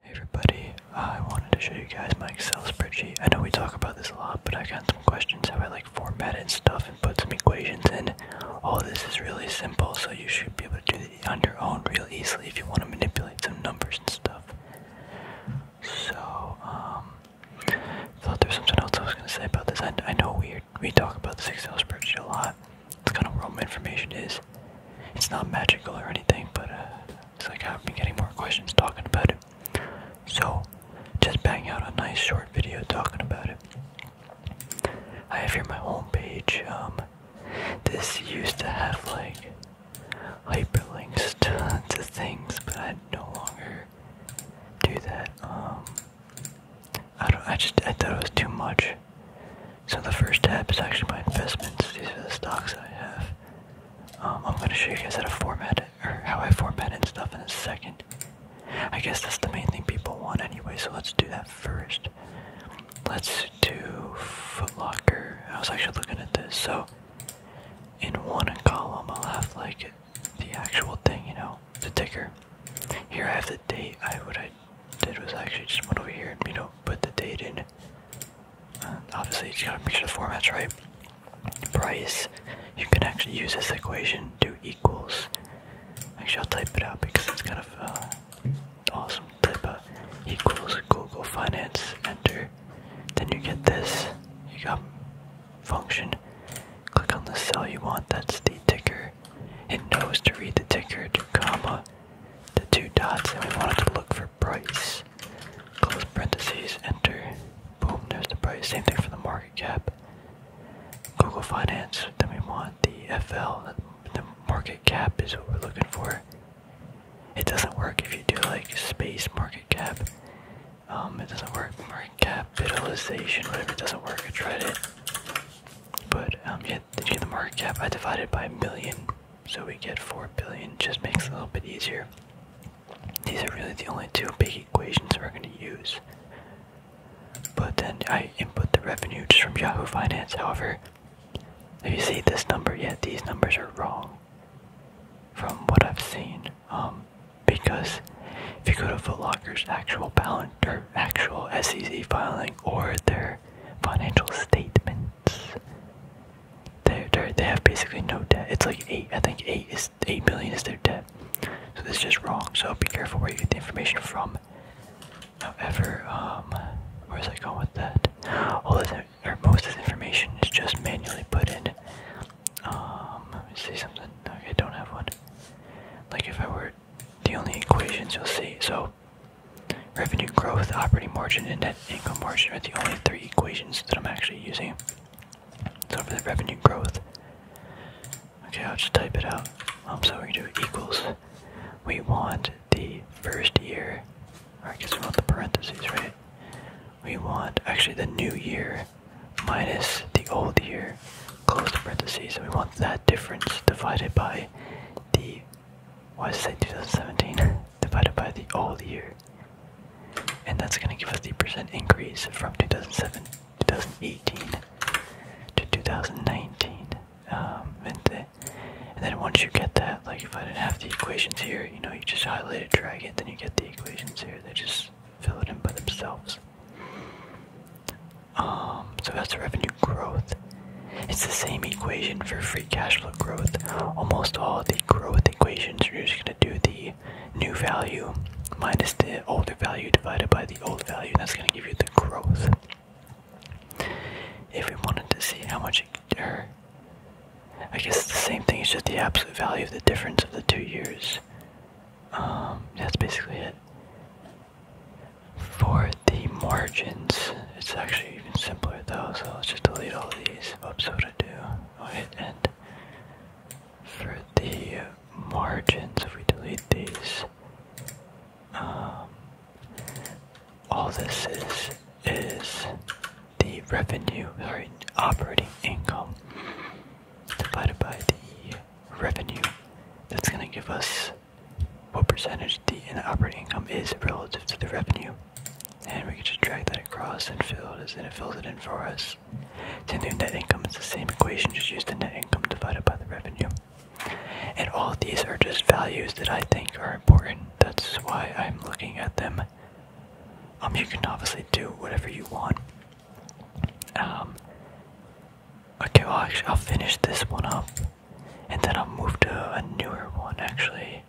Hey everybody, I wanted to show you guys my Excel spreadsheet. I know we talk about this a lot, but I got some questions how I like format stuff and put some equations in. All this is really simple, so you should be able to do it on your own real easily if you want to manipulate some numbers and stuff. So, um, thought there was something else I was going to say about this. I, I know we, we talk about this Excel spreadsheet a lot. It's kind of all my information is, it's not magical or anything, but uh, it's like I've been getting more questions talking about it. So just bang out a nice short video talking about it. I have here my homepage. Um, this used to have like hyperlinks to, to things, but I no longer do that. Um, I don't. I just I thought it was too much. So the first tab is actually my investments. These are the stocks I have. Um, I'm gonna show you guys how to format or how I format and stuff in a second. I guess that's the main thing people want anyway, so let's do that first. Let's do Footlocker. I was actually looking at this, so in one column I'll have like the actual thing, you know, the ticker. Here I have the date. I what I did was actually just went over here and you know put the date in obviously, you just gotta make sure the format's right. Price, you can actually use this equation Do equals. Make sure I'll type it out because it's kind of uh, awesome. Type out uh, equals Google Finance, enter. Then you get this. You got function. Click on the cell you want. That's the ticker. It knows to read the ticker, to comma, the two dots, and we want it to look for price. Close parentheses, enter. Boom, there's the price. Same thing for the market cap. Google Finance, then we want the FL, the market cap is what we're looking for. It doesn't work if you do like space market cap. Um, it doesn't work. Market capitalization, whatever, it doesn't work. I tried it. But, um, yeah, did you get the market cap? I divided by a million so we get 4 billion, just makes it a little bit easier. These are really the only two big equations we're going to use. But then I input the revenue just from Yahoo Finance, however, have you seen this number, yet? these numbers are wrong from what I've seen. Um, because if you go to Footlocker's actual balance or actual SEC filing or their financial statement, they they have basically no debt. It's like eight. I think eight is eight million is their debt. So this is just wrong. So be careful where you get the information from. However, um, does I go with that? All this or most of the information is just manually put in. Um, let me see something. Okay, I don't have one. Like if I were the only equations you'll see. So Revenue growth, operating margin, and net income margin are the only three equations that I'm actually using. So for the revenue growth, okay, I'll just type it out. Um, so we do equals. We want the first year, All right, I guess we want the parentheses, right? We want actually the new year minus the old year, close the parentheses, and we want that difference divided by the was say 2017 divided by the whole year. And that's going to give us the percent increase from 2007, 2018 to 2019. Um, and, then once you get that, like if I didn't have the equations here, you know, you just highlight it, drag it, then you get the equations here. They just fill it in by themselves. Um, so that's the revenue growth. It's the same equation for free cash flow growth, almost all the growth equations, you're just going to do the new value minus the older value divided by the old value, that's going to give you the growth. If we wanted to see how much it, or I guess the same thing, is just the absolute value of the difference of the two years. Um, that's basically it. For the margins, it's actually even simpler though, so let's just delete all of these. Oops, what to do and for the margins, if we delete these, um, all this is is the revenue, sorry, operating income divided by the revenue. That's going to give us what percentage the operating income is relative to the revenue and we can just drag that across and fill it and it fills it in for us. To new net income, it's the same equation, just use the net income divided by the revenue. And all of these are just values that I think are important. That's why I'm looking at them. Um, you can obviously do whatever you want. Um, okay, well, actually, I'll finish this one up, and then I'll move to a newer one. Actually,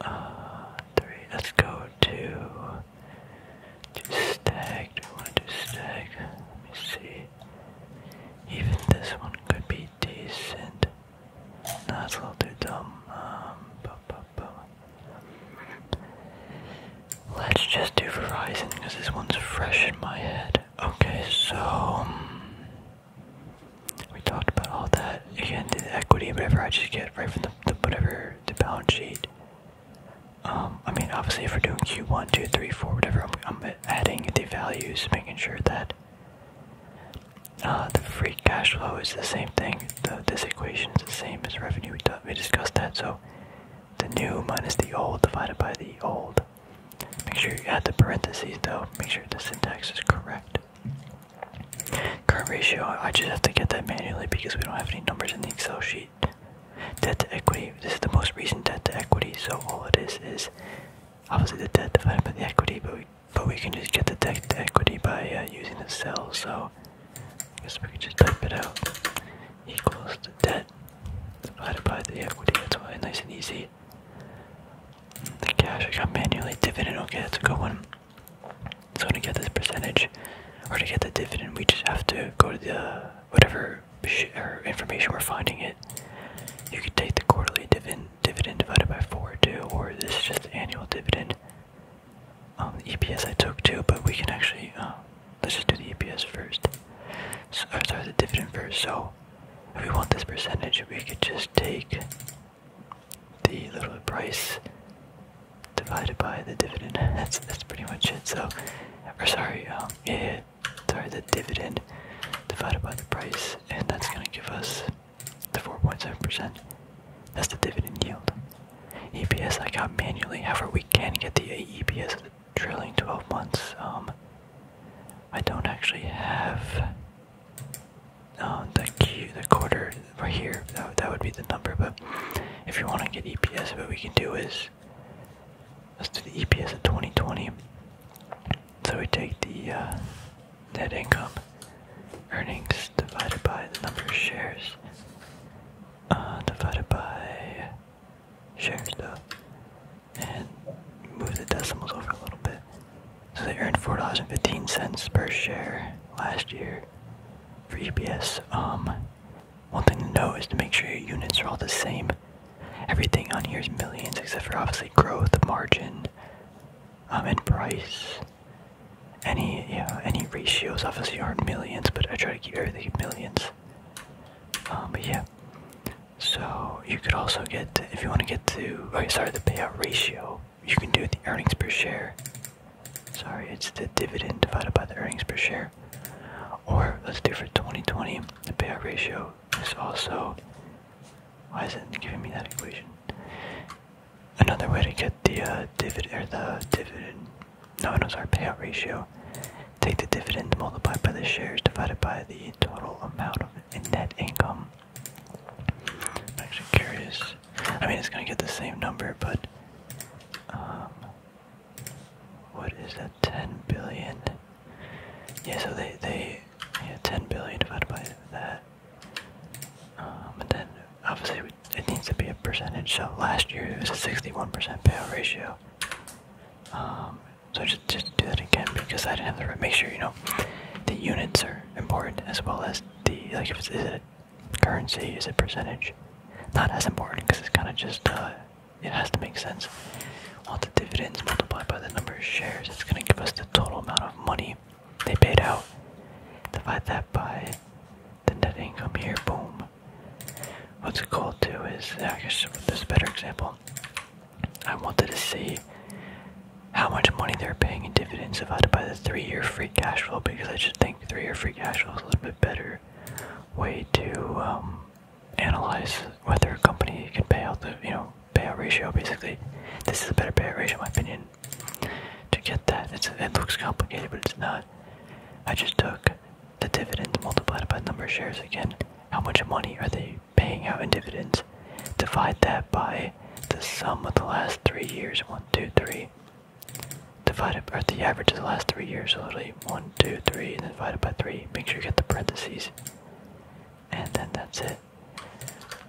uh, three. Let's go to do stag. Do we want to do stag? Let me see. Even this one could be decent. Not a little too dumb. Um, bu -bu -bu. Let's just do Verizon because this one's fresh in my head. Okay, so. Um, we talked about all that again the equity whatever I just get right from the, whatever the balance sheet um I mean obviously if we're doing q1 2 3 4 whatever I'm, adding the values making sure that uh the free cash flow is the same thing the this equation is the same as revenue we, we discussed that so the new minus the old divided by the old make sure you add the parentheses though make sure the syntax is correct Current ratio, I just have to get that manually because we don't have any numbers in the Excel sheet. Debt to equity, this is the most recent debt to equity, so all it is is obviously the debt divided by the equity, but we, but we can just get the debt to equity by uh, using the cell, so I guess we can just type it out. Equals the debt divided by the equity, that's why, nice and easy. The cash got manually, dividend, okay, that's a good one. So to get this percentage, or to get the dividend, we just have to go to the whatever information we're finding it. You could take the quarterly dividend divided by four too, or this is just annual dividend. Um, the EPS I took too, but we can actually um, let's just do the EPS first. sorry, the dividend first. So if we want this percentage, we could just take the little price divided by the dividend. That's that's pretty much it. So, or sorry, um, sorry, the dividend divided by the price, and that's gonna give us the 4.7%. That's the dividend yield. EPS I got manually. However, we can get the EPS of the trailing 12 months. Um, I don't actually have uh, the the quarter right here. That that would be the number. But if you want to get EPS, what we can do is let's do the EPS of 2020. So we take the uh, net income, earnings divided by the number of shares, uh, divided by shares and move the decimals over a little bit. So they earned four dollars and fifteen cents per share last year for for Um, one thing to know is to make sure your units are all the same. Everything on here is millions, except for obviously growth, margin, um, and price. Any yeah, any ratios obviously aren't millions, but I try to keep everything in millions. Um, but yeah. So you could also get if you want to get to oh sorry the payout ratio you can do it the earnings per share. Sorry, it's the dividend divided by the earnings per share. Or let's do for 2020, the payout ratio is also. Why isn't it giving me that equation? Another way to get the uh, dividend or the dividend. No, no, our payout ratio. Take the dividend multiplied by the shares divided by the total amount of net income. I'm actually curious I mean, it's gonna get the same number, but um, what is that? 10 billion. Yeah, so they they yeah 10 billion divided by that. Um, and then obviously it needs to be a percentage. So last year it was a 61% payout ratio. Um, so just just do that again because I didn't have the Make sure you know the units are important as well as the like if it's is it currency is a percentage. Not as important because it's kind of just, uh, it has to make sense. While the dividends multiplied by the number of shares, it's going to give us the total amount of money they paid out. Divide that by the net income here, boom. What's cool too is, I guess this better example, I wanted to see how much money they're paying in dividends divided by the three year free cash flow because I just think think three or free cash flow is a little bit better way to um, analyze whether a company can pay out the you know payout ratio. Basically, this is a better payout ratio in my opinion. To get that, it's, it looks complicated, but it's not. I just took the dividends multiplied by the number of shares again. How much money are they paying out in dividends? Divide that by the sum of the last three years. One, two, three divided by the average of the last three years, so literally 1, 2, 3, and then divided by 3. Make sure you get the parentheses. And then that's it.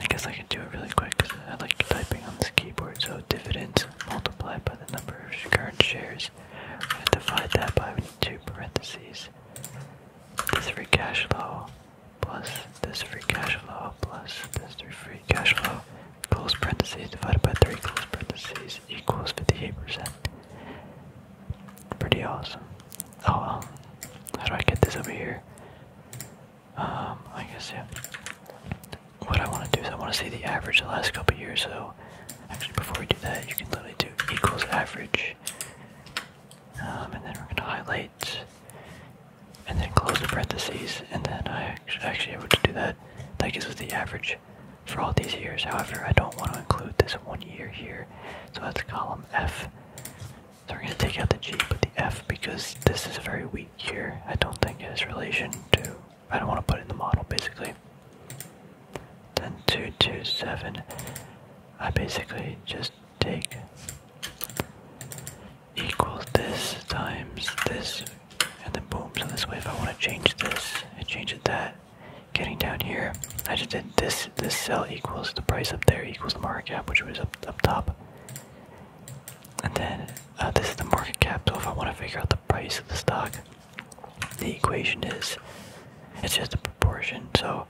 I guess I can do it really quick because I like typing on this keyboard. So dividends multiplied by the number of current shares. I'm going to divide that by two parentheses. This free cash flow plus this free cash flow plus this free cash flow close parentheses divided by 3 close parentheses equals 58%. Pretty awesome. Oh well. How do I get this over here? Um, I guess, yeah. What I want to do is I want to see the average the last couple years, so actually before we do that, you can literally do equals average. Um, and then we're going to highlight and then close the parentheses, and then I actually able to do that. That gives us the average for all these years. However, I don't want to include this one year here, so that's column F. So we're going to take out the G, but the F because this is a very weak year. I don't think it has relation to. I don't want to put in the model basically. Then two two seven. I basically just take equals this times this, and then boom. So this way, if I want to change this, I change it that. Getting down here, I just did this. This cell equals the price up there equals the market cap, which was up up top. And then uh, this is the market cap. So if I want to figure out the price of the stock, the equation is it's just a proportion. So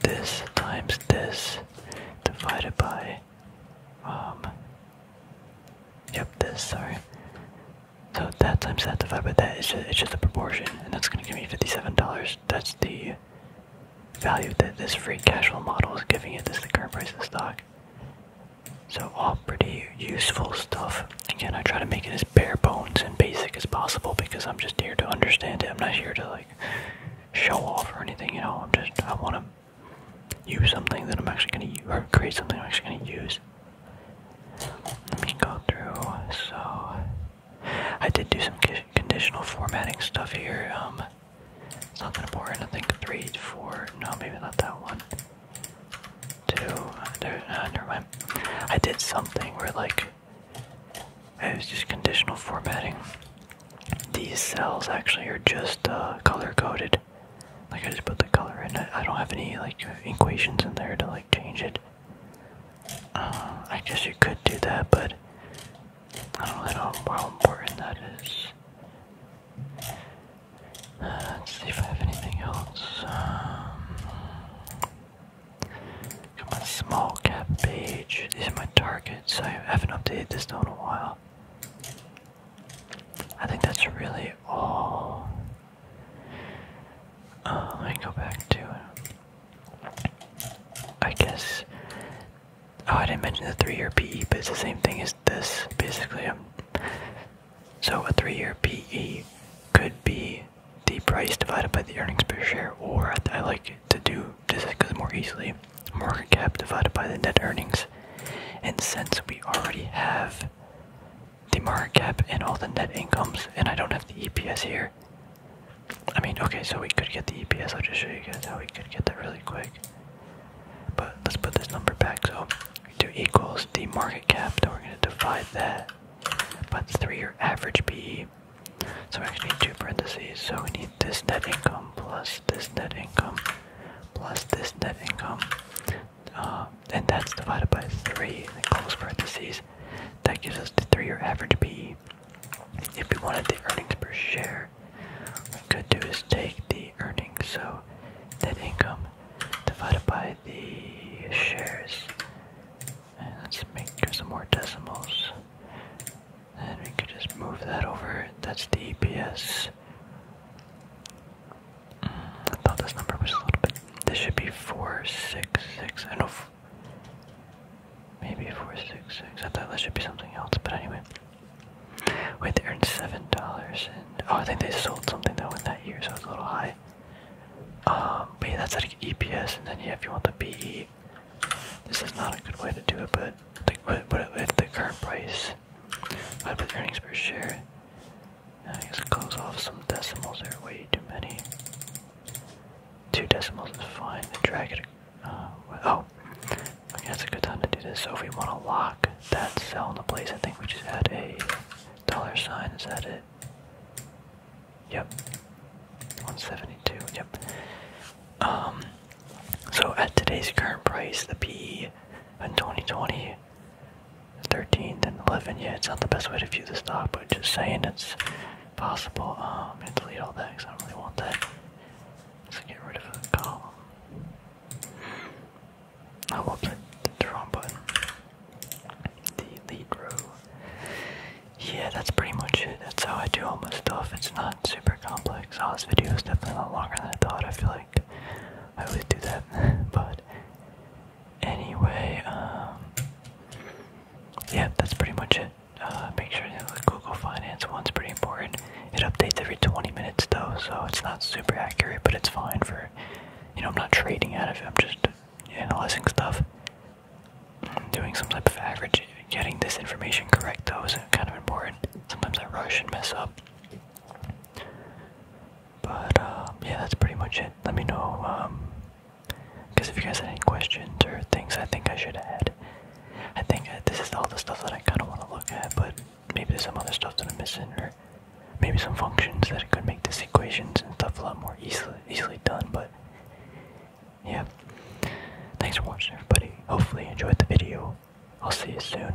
this times this divided by um, yep, this, sorry. So that times that divided by that, it's just, it's just a proportion, and that's gonna give me $57. That's the value that this free casual model is giving you. This the current price of the stock. So all pretty useful stuff. Again, I try to make it as bare bones and basic as possible because I'm just here to understand it. I'm not here to like show off or anything, you know. I'm just I want to use something that I'm actually going to create something I'm actually going to use. Let me go through. So, I did do some conditional formatting stuff here. Um, important. I think three, four. No, maybe not that one. Two. There, uh, never mind. I did something where like it was just conditional formatting. These cells actually are just uh, color coded like I just put the color in. I, don't have any like equations in there to like change it. Uh, I guess you could do that, but I don't know how important that is. Uh, let's see if I have anything else. Um, got small cap page. These are my targets. I haven't updated this in a while. I think that's really all. Uh, let me go back to I guess. Oh, I didn't mention the three-year PE, but it's the same thing as this, basically. Um, so a three-year PE could be the price divided by the earnings per share, or I like to do this because it's more easily, market cap divided by the net earnings. And since we already have the market cap and all the net incomes, and I don't have the EPS here. I mean, okay, so we could get the EPS. I'll just show you guys how we could get that really quick. But let's put this number back. So we do equals the market cap, then we're going to divide that by three year average PE. So we actually need two parentheses. So we need this net income plus this net income plus this net income. Um, and that's divided by 3, and close parentheses. That gives us the 3-year average PE. If we wanted the earnings per share, what we could do is take the earnings, so net income divided by the shares. let's make some more decimals. And we could just move that over. That's the EPS. I thought this number was a little bit. This should be four six six. I know. Maybe four six six. I thought this should be something else, but anyway. Wait, they earned seven dollars, and oh, I think they sold something that went that year, so it's a little high. Um, but that's like EPS, and then yeah, if you want the PE, this is not a good way to do it. But like, what, what if the current price? What with earnings per share? I just close off some decimals. There are way too many. Two decimals is fine. Then drag it. Uh, oh, okay, that's a good time to do this. So if we want to lock that cell in the place, I think we just add a dollar sign. Is that it? Yep. 172. Yep. Um. So at today's current price, the P in 2020 Thirteen, then 11. Yeah, it's not the best way to view the stock, but just saying it's possible. Um, and delete all that because I don't really want that. let get rid of a column. I will put the wrong button. The row. Yeah, that's pretty much it. That's how I do all my stuff. It's not super complex. Oh, this video is definitely a lot longer than I thought. I feel like I always do that. but anyway, um, yeah, that's pretty much it. Uh, make sure the Google Finance one's pretty important. It updates every 20 minutes though, so it's not super accurate, but it's fine for, you know, I'm not trading out of it. I'm just analyzing stuff, doing some type of average. Getting this information correct though is kind of important. Sometimes I rush and mess up. But um, yeah, that's pretty much it. Let me know because um, if you guys had any questions or things I think I should add, I think this is all the stuff that I kind of want to look at. But maybe there's some other stuff that I'm missing, or maybe some functions that could make this equations and stuff a lot more easily easily done. But yeah, thanks for watching, everybody. Hopefully, you enjoyed the video. I'll see you soon.